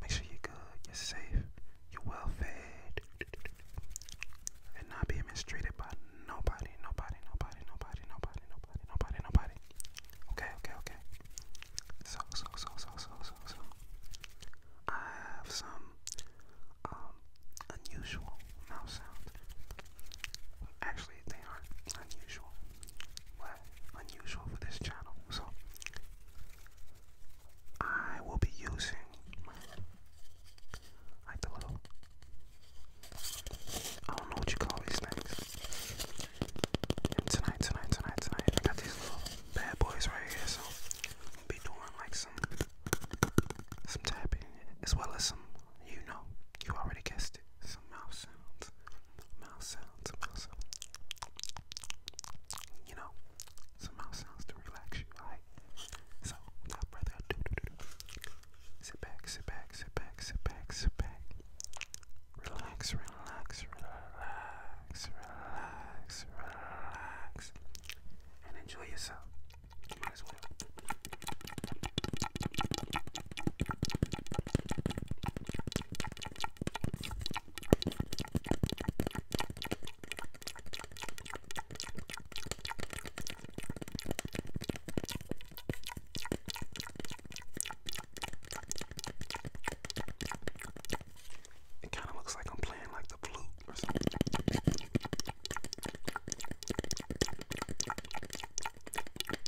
Make sure you're good, you're safe, you're well fed, and not being mistreated by nobody, nobody, nobody, nobody, nobody, nobody, nobody, nobody. Okay, okay, okay. So, so, so, so, so, so, so. I have some um unusual mouse sounds. Actually, they aren't unusual. Uh, unusual for this channel. So I will be using like the little I don't know what you call these things. And tonight, tonight, tonight, tonight, I got these little bad boys right here, so be doing like some some tapping as well as some you know, you already guessed it, some mouth sounds mouse sounds, mouse sounds. You know, some mouse sounds to relax you, alright? So, without further ado, do, do, do. sit back, sit back, sit back, sit back, sit back. Relax, relax, relax, relax, relax, and enjoy yourself. You might as well. It kind of looks like I'm playing like the flute or something.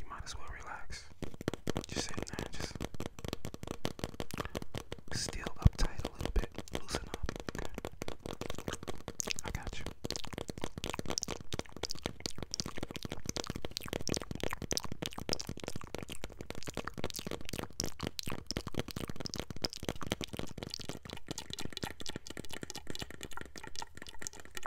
you might as well relax. Just sitting there, just still uptight a little bit. Loosen up. I got you.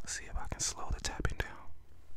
Let's see if I can slow the tapping down.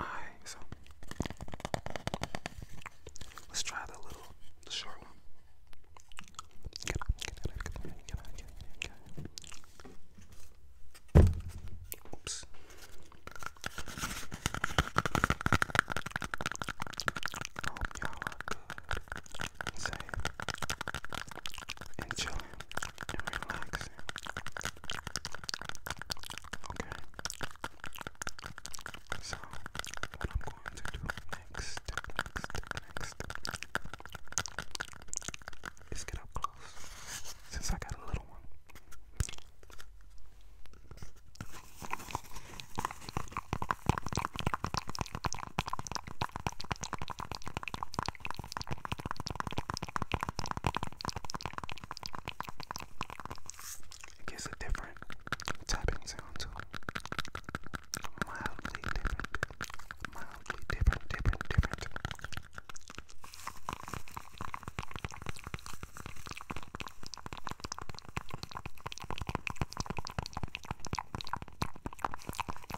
Alright, so let's try the little, the short one. Oops. I hope y'all are good and safe and chilling and relaxing. Okay. So what I'm going to do next, next, next is get up close. Since I got a little one. It gives a different tapping sound to it. Mildly different. Mildly different, different, different.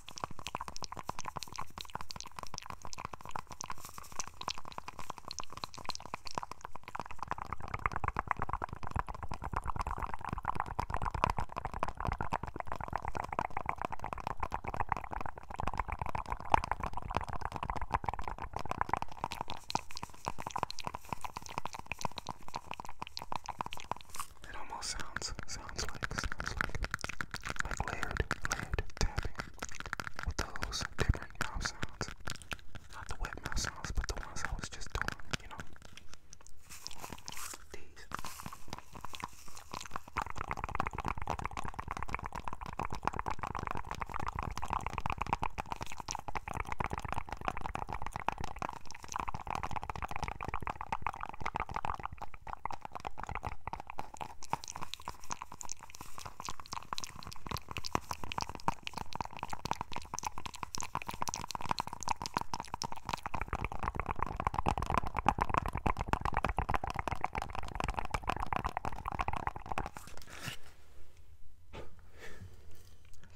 It almost sounds sounds like sounds like like layered, layered tapping with those different mouth sounds. Not the wet mouth sounds, but the ones I was just doing, you know. These.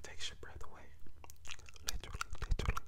Takes your breath away. Literally, literally.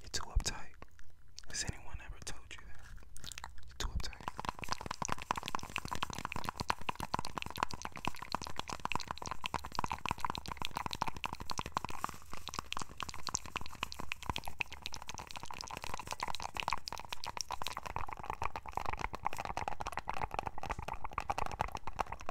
You're too uptight. Has anyone ever told you that? You're too uptight.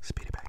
Speed it back.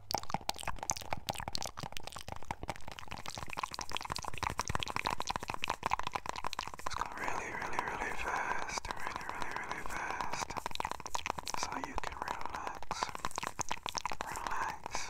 It's going really, really, really fast. Really, really, really fast. So you can relax. Relax.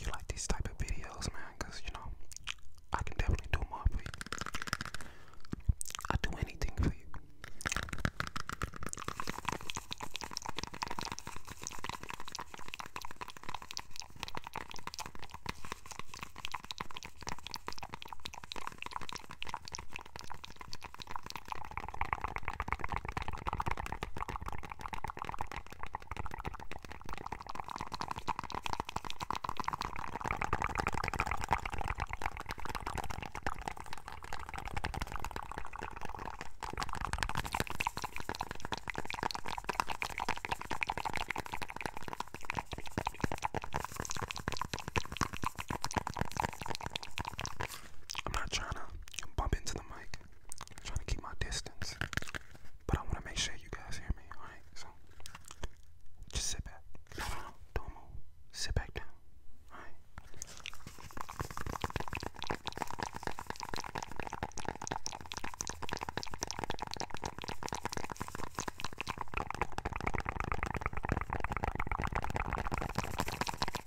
you like these type of videos, man, you know I can definitely do more for you. i do anything for you. I'm not trying to bump into the mic. I'm trying to keep my distance, but I want to make sure you guys hear me. All right, so just sit back. don't move. Sit back down. All right.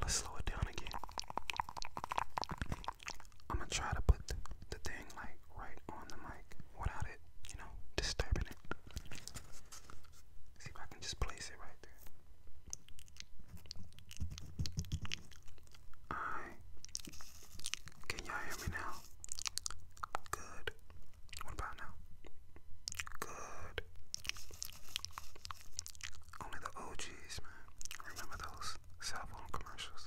Let's slow it down again. I'm gonna try to put the, thing like right on the mic without it, you know, disturbing it. See if I can just place it right there. Alright. Can y'all hear me now? Good. What about now? Good. Only the OGs, man. Remember those cell phone commercials?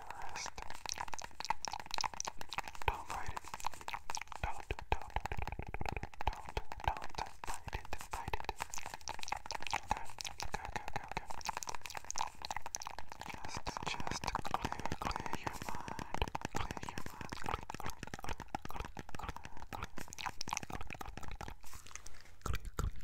the wrist. Don't fight it. Don't, don't, don't, don't, don't fight it, fight it. Okay, okay, okay, okay, okay. Just, just clear, clear your mind. Clear your mind. Clear, clear, clear, clear, clear, clear, clear, clear, clear, clear, clear, clear.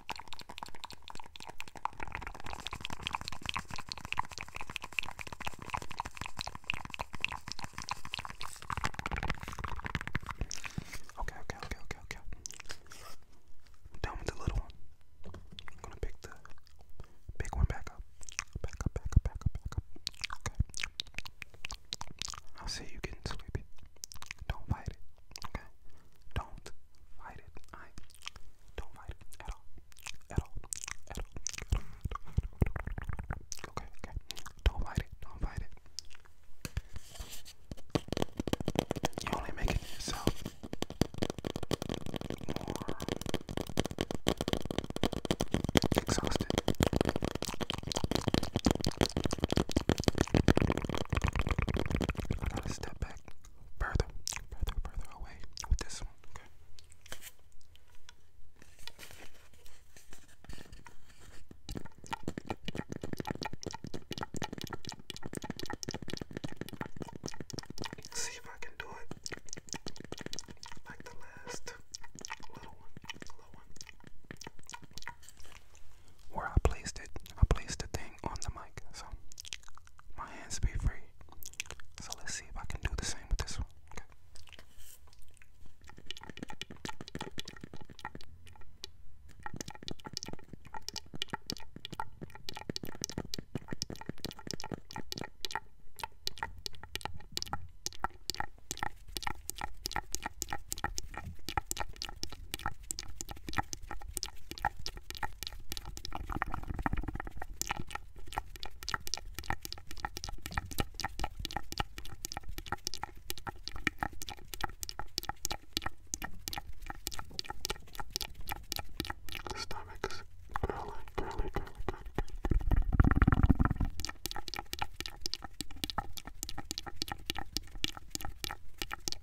Okay, okay, okay, okay, okay. Down with the little one. I'm gonna pick the big one back up. Back up, back up, back up, back up. Okay. I see you getting sleepy. Don't fight it. Okay? Don't fight it. I don't fight it at all. At all. At all. Okay, okay. Don't fight it. Don't fight it. You're only making yourself exhausted. I gotta step back further, further, further away with this one, okay? See if I can do it like the last little one, little one. Where I placed it, I placed the thing on the mic, so my hands be free. So let's see if I can do the same with this one. Stomachs curling, curling, curling, curling.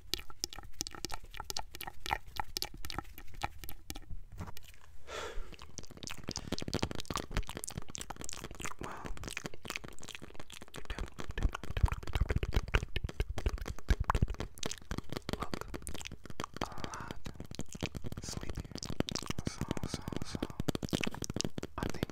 Wow. Look a lot sleepier. So so so I think